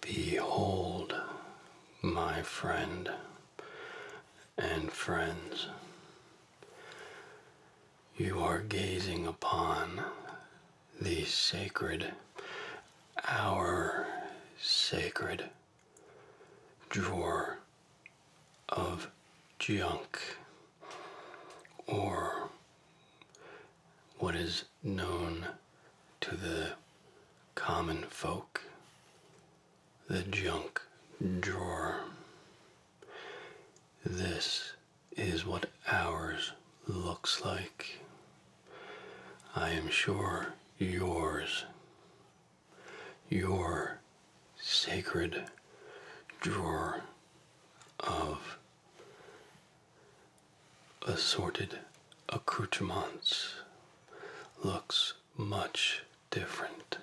Behold, my friend and friends, you are gazing upon the sacred, our sacred drawer of junk, or what is known to the common folk, the junk drawer. This is what ours looks like. I am sure yours, your sacred drawer of assorted accoutrements looks much different.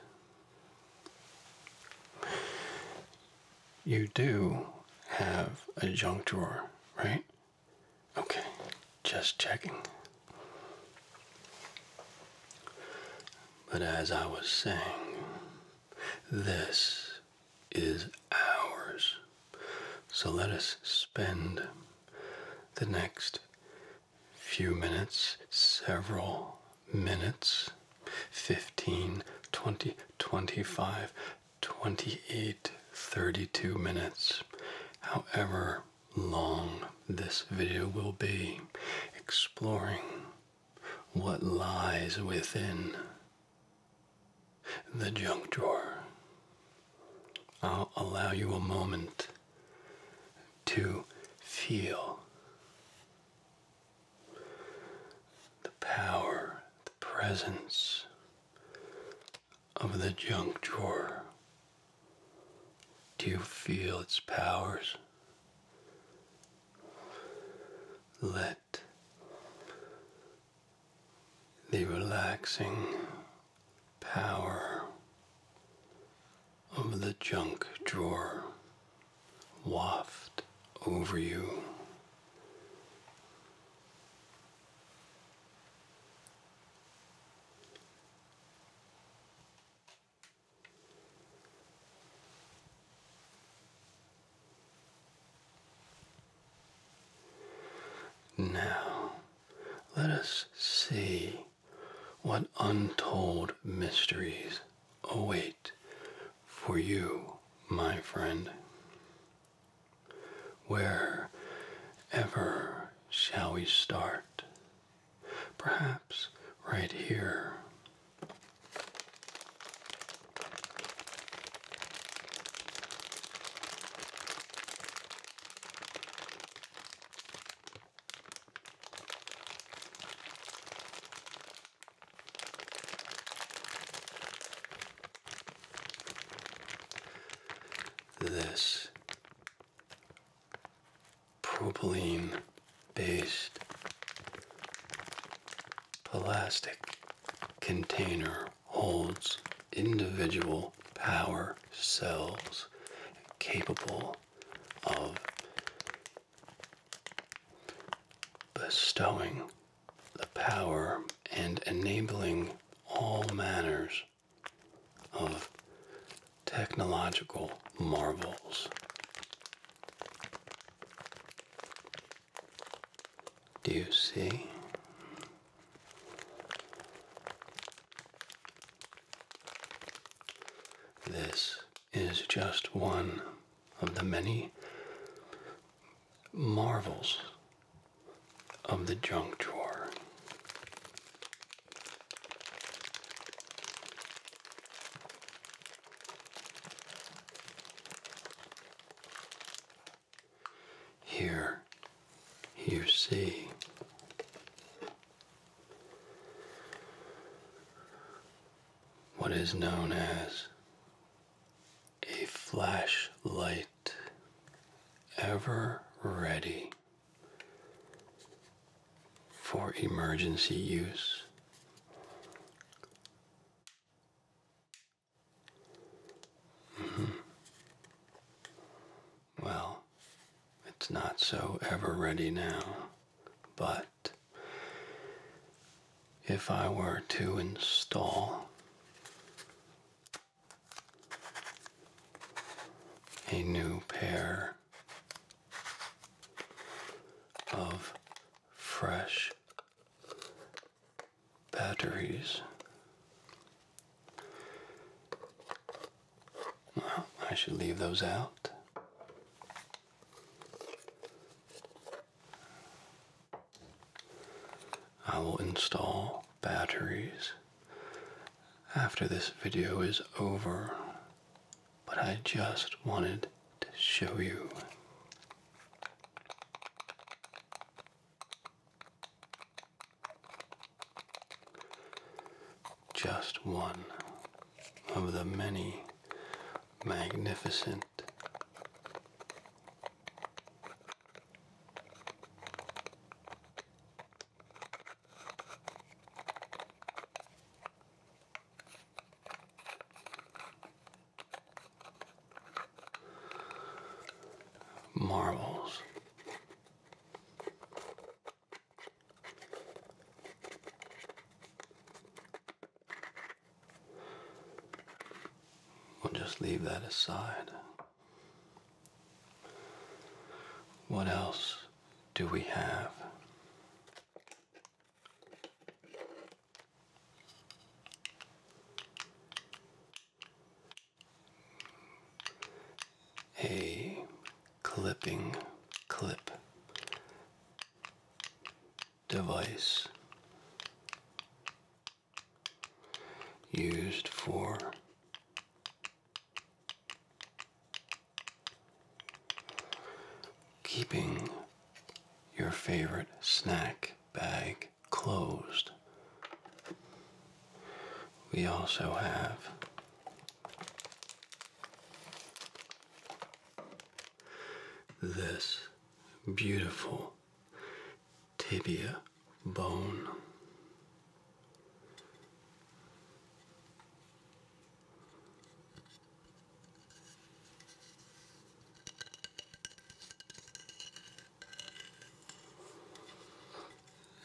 You do have a junk drawer, right? Okay, just checking. But as I was saying, this is ours. So let us spend the next few minutes, several minutes, 15, 20, 25, 28 32 minutes, however long this video will be, exploring what lies within the junk drawer. I'll allow you a moment to feel the power, the presence of the junk drawer? Do you feel its powers? Let the relaxing power of the junk drawer waft over you. Now, let us see what untold mysteries await for you, my friend. Wherever shall we start? Perhaps right here. This propylene based plastic container holds individual power cells capable of bestowing the power and enabling all manners of technological marvels. Do you see? This is just one of the many marvels of the junk drawer. Here you see what is known as a flashlight ever ready for emergency use. Mm-hmm. Well, it's not so ever ready now, but if I were to install a new pair of fresh batteries. Well, I should leave those out. I will install batteries after this video is over, but I just wanted to show you. Just one of the many magnificent Marbles. We'll just leave that aside. What else do we have? A clipping clip device used for keeping your favorite snack bag closed. We also have this beautiful tibia bone.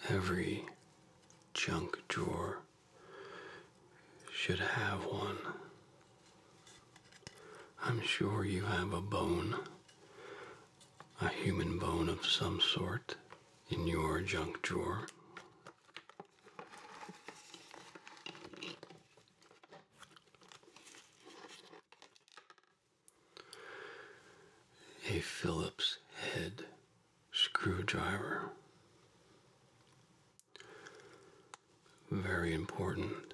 Every junk drawer should have one. I'm sure you have a bone, a human bone of some sort, in your junk drawer. A Phillips head screwdriver. Very important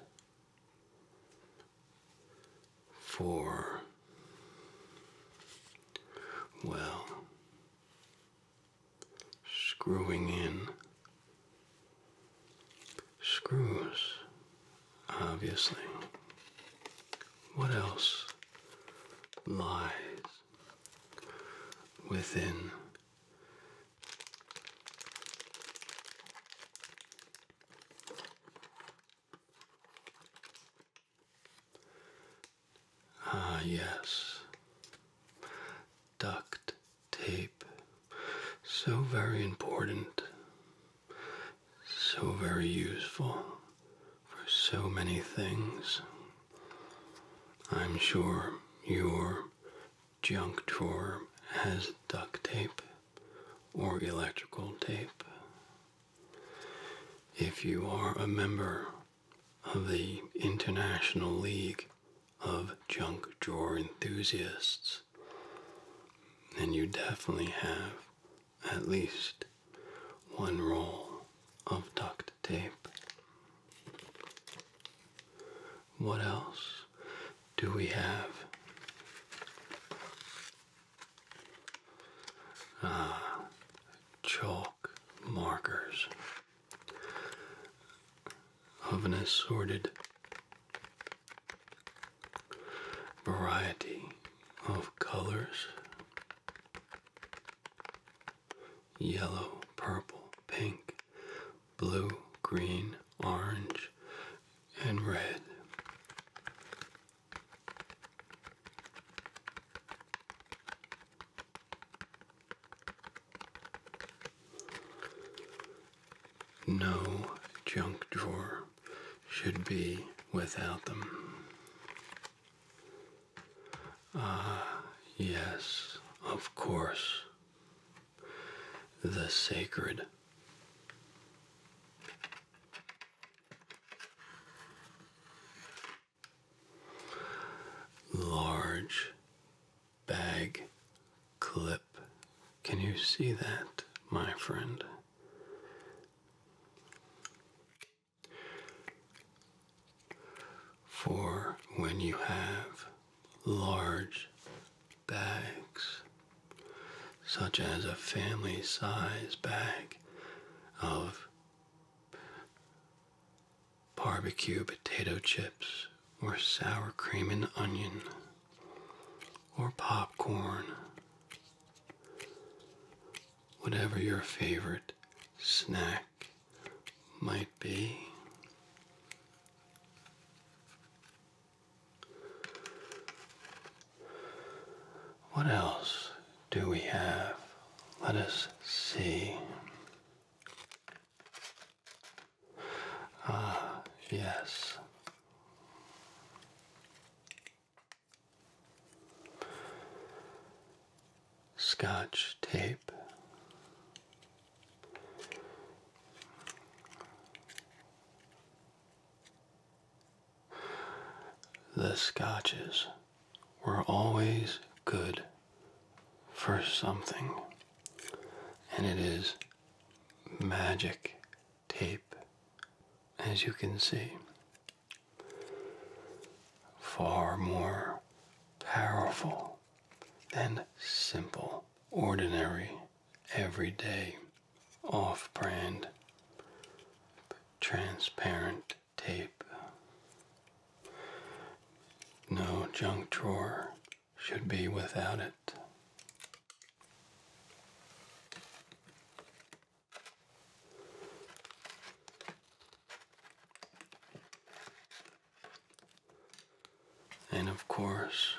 for, well, screwing in screws, obviously. What else lies within Ah, yes. Duct tape. So very important. So very useful for so many things. I'm sure you're junk drawer has duct tape or electrical tape. If you are a member of the International League of Junk Drawer Enthusiasts, then you definitely have at least one roll of duct tape. What else do we have? Ah, chalk markers of an assorted variety of colors yellow, purple, pink, blue, green, orange, and red. No junk drawer should be without them. Ah, yes, of course. The sacred Large bag clip. Can you see that, my friend? For when you have large bags, such as a family size bag of barbecue potato chips or sour cream and onion or popcorn. Whatever your favorite snack might be. What else do we have? Let us see. Ah, yes. Scotch tape, the scotches were always good for something, and it is magic tape, as you can see. Far more powerful than simple, ordinary, everyday off brand transparent tape. No junk drawer should be without it and of course,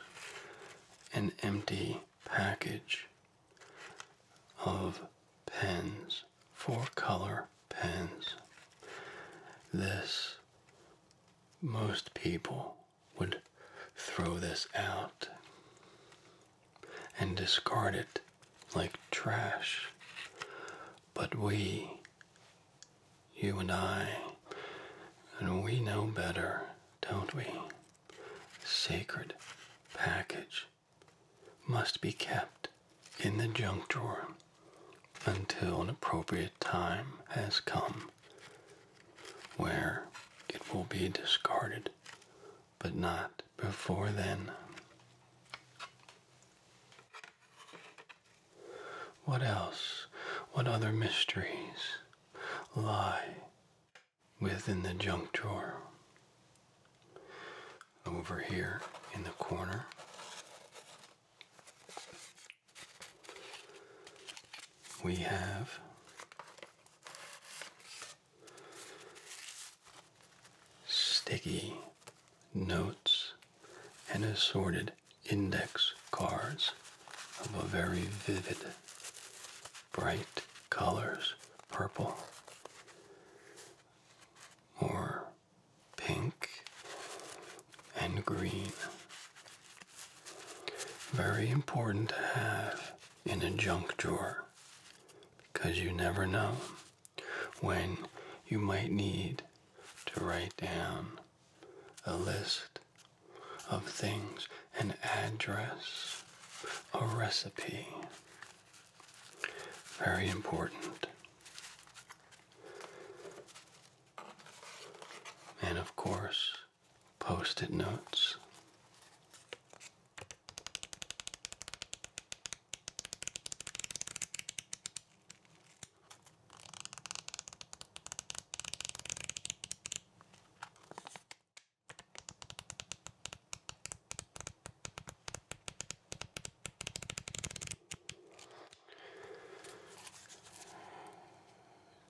an empty package of pens, four color pens. This, most people would throw this out and discard it like trash. But we, you and I, and we know better don't we? Sacred package must be kept in the junk drawer until an appropriate time has come where it will be discarded, but not before then. What else? What other mysteries lie within the junk drawer. Over here in the corner. We have sticky notes and assorted index cards of a very vivid, bright colors, purple or pink and green. Very important to have in a junk drawer because you never know when you might need to write down a list of things, an address, a recipe. Very important. And of course, post it notes.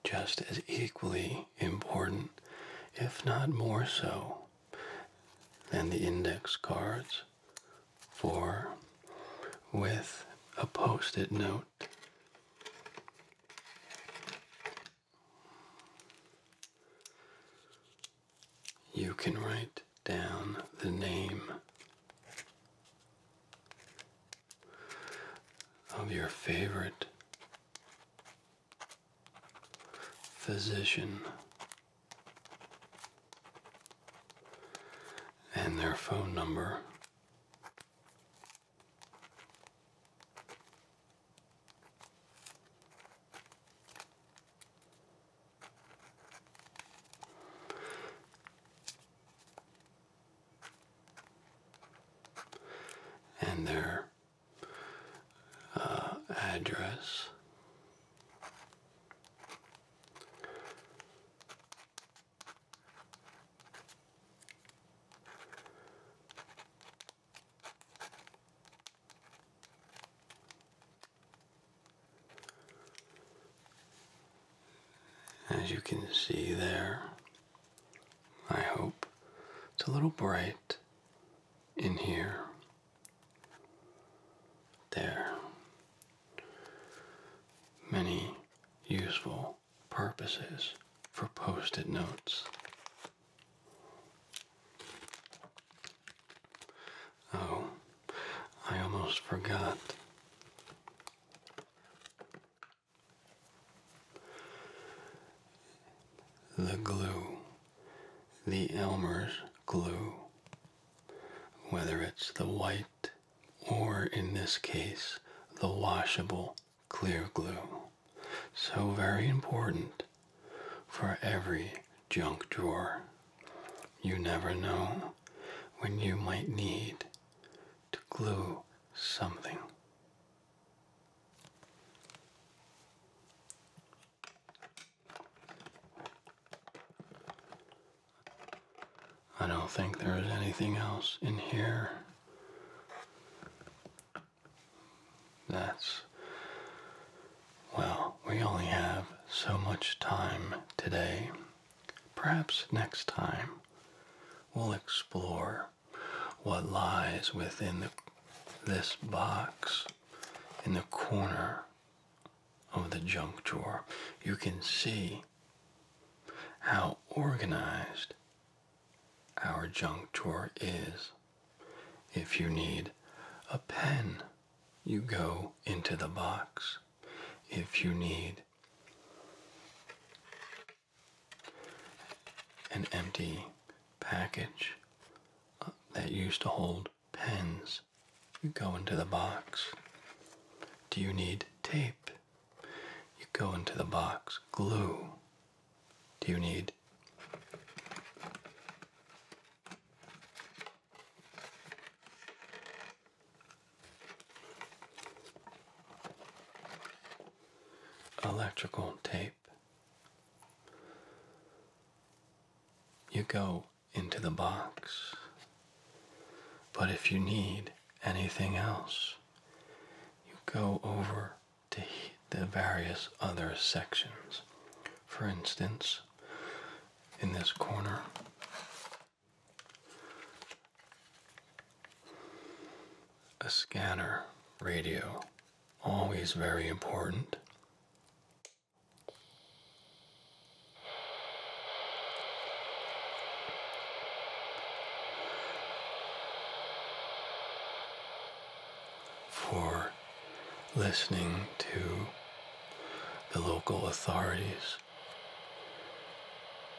Just as equally important, if not more so, than the index cards, for with a post it note, you can write down the name of your favorite physician and their phone number and their uh, address as you can see there, I hope it's a little bright in here. There. Many useful purposes for post it notes. Oh, I almost forgot. The glue, the Elmer's glue, whether it's the white or in this case the washable clear glue. So very important for every junk drawer. You never know when you might need to glue something. I don't think there is anything else in here. That's. Well, we only have so much time today. Perhaps next time we'll explore what lies within this box in the corner of the junk drawer. You can see how organized our junk drawer is. If you need a pen, you go into the box. If you need an empty package uh, that used to hold pens, you go into the box. Do you need tape? You go into the box. Glue. Do you need electrical tape? You go into the box. But if you need anything else, you go over to the various other sections. For instance, in this corner, a scanner radio, always very important for listening to the local authorities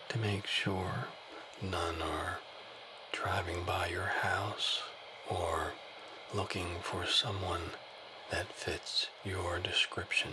to make sure none are driving by your house or looking for someone that fits your description.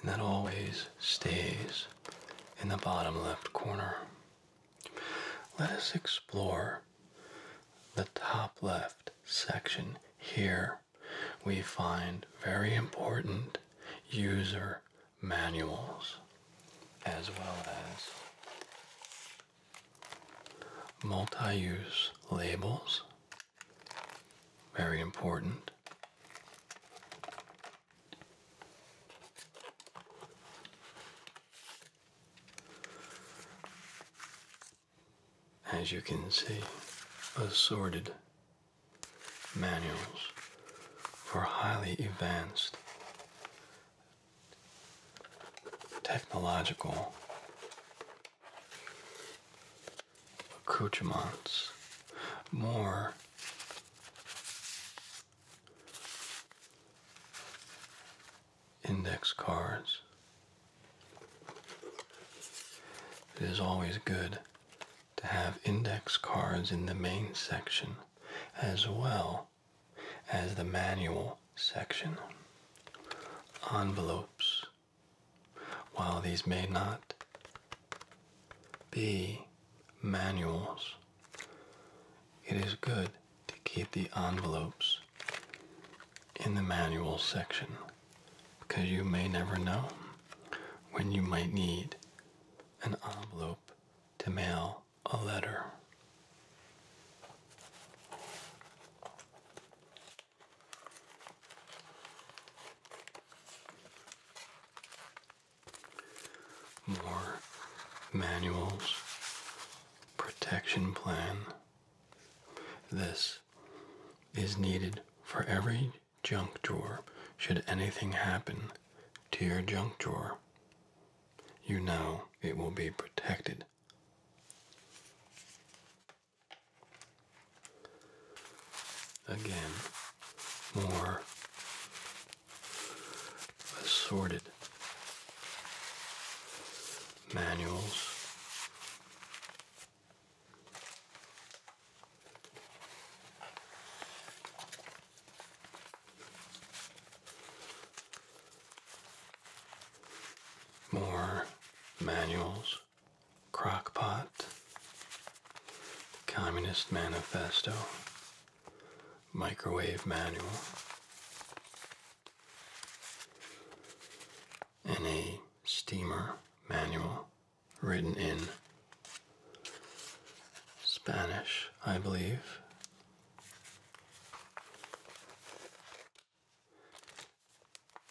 And that always stays in the bottom left corner. Let us explore the top left section here. We find very important user manuals as well as multi-use labels very important as you can see assorted manuals for highly advanced technological accoutrements, more index cards. It is always good to have index cards in the main section as well as the manual section. Envelopes. While these may not be manuals, it is good to keep the envelopes in the manual section because you may never know when you might need an envelope to mail a letter. More manuals, protection plan. This is needed for every junk drawer should anything happen to your junk drawer you know it will be protected. Again, more assorted manuals. More manuals, Crockpot, Communist Manifesto, Microwave Manual, and a steamer manual written in Spanish, I believe,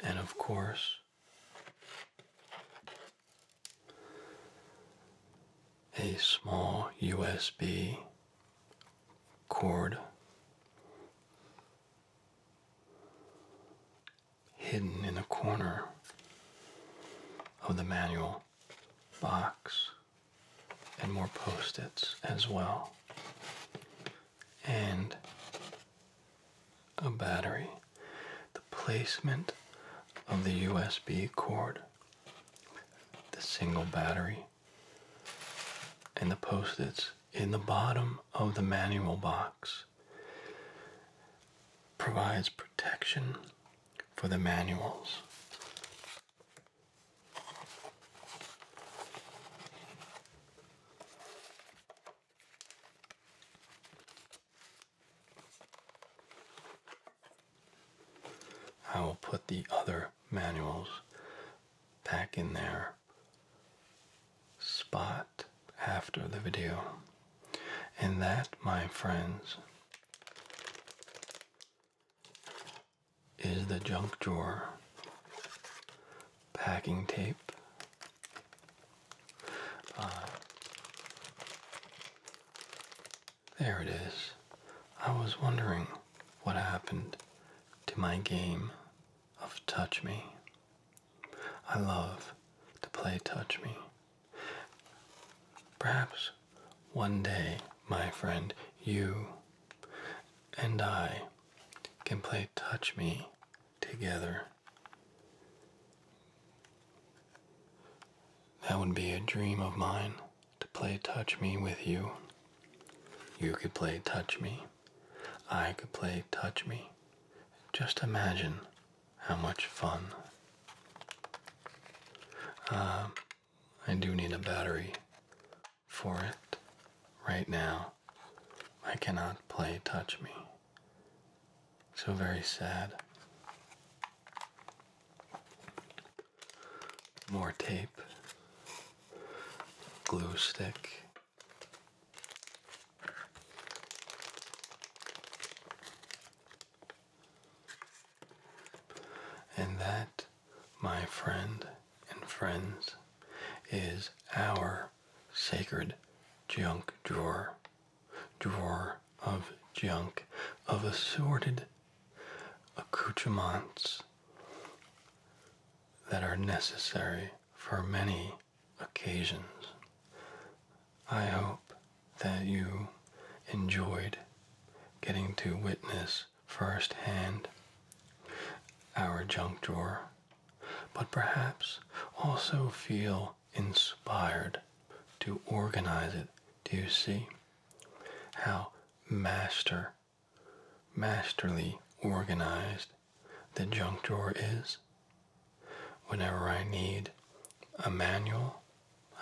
and of course, a small USB cord hidden in the corner of the manual box and more post-its as well and a battery the placement of the USB cord the single battery and the post-its in the bottom of the manual box provides protection for the manuals I will put the other manuals back in their spot after the video. And that, my friends, is the junk drawer, packing tape, uh, there it is. I was wondering what happened to my game of Touch Me. I love to play Touch Me. Perhaps one day, my friend, you and I can play Touch Me together. That would be a dream of mine to play Touch Me with you. You could play Touch Me. I could play Touch Me. Just imagine how much fun. Uh, I do need a battery for it right now. I cannot play Touch Me. So very sad. More tape, glue stick. And that, my friend and friends, is our sacred junk drawer. Drawer of junk, of assorted accoutrements that are necessary for many occasions. I hope that you enjoyed getting to witness First hand, our junk drawer, but perhaps also feel inspired to organize it. Do you see how master, masterly organized the junk drawer is? Whenever I need a manual,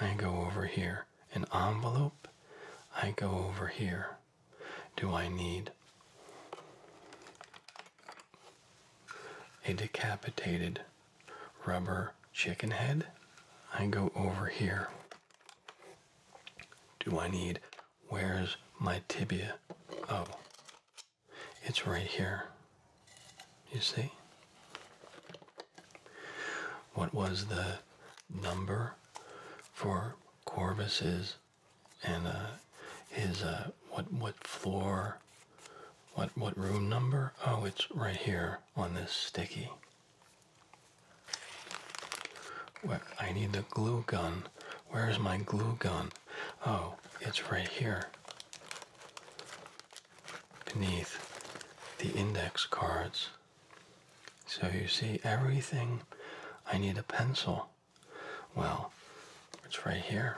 I go over here an envelope? I go over here. Do I need a decapitated rubber chicken head? I go over here. Do I need where's my tibia? Oh, it's right here. You see? What was the number for Corvus's and uh, his uh, what what floor? What what room number? Oh, it's right here on this sticky. I need the glue gun. Where's my glue gun? Oh, it's right here. Beneath the index cards. So you see everything I need a pencil. Well, it's right here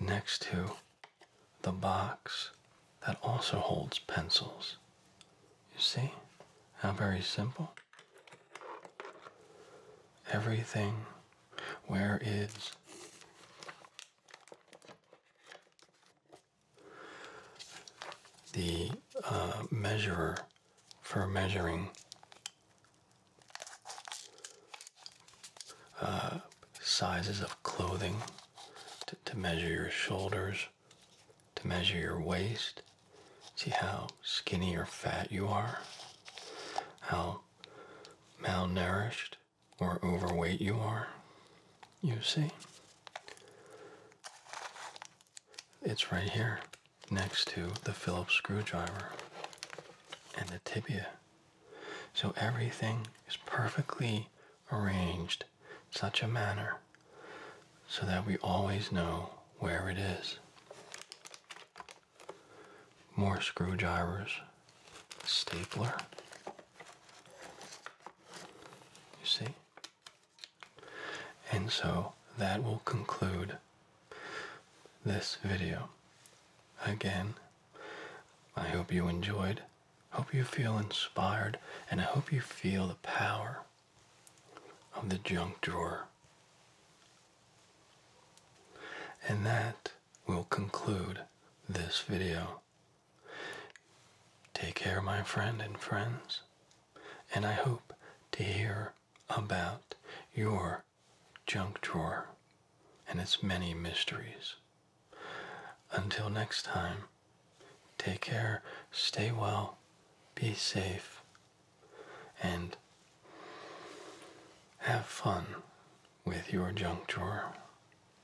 next to the box that also holds pencils. You see how very simple? Everything where is the uh, measurer for measuring uh, sizes of clothing to, to measure your shoulders, to measure your waist, see how skinny or fat you are, how malnourished or overweight you are. You see? It's right here next to the Phillips screwdriver and the tibia. So everything is perfectly arranged such a manner so that we always know where it is. More screwdrivers, stapler, you see? And so that will conclude this video. Again, I hope you enjoyed. Hope you feel inspired and I hope you feel the power of the junk drawer. And that will conclude this video. Take care, my friend and friends, and I hope to hear about your junk drawer and its many mysteries. Until next time, take care, stay well, be safe, and have fun with your junk drawer.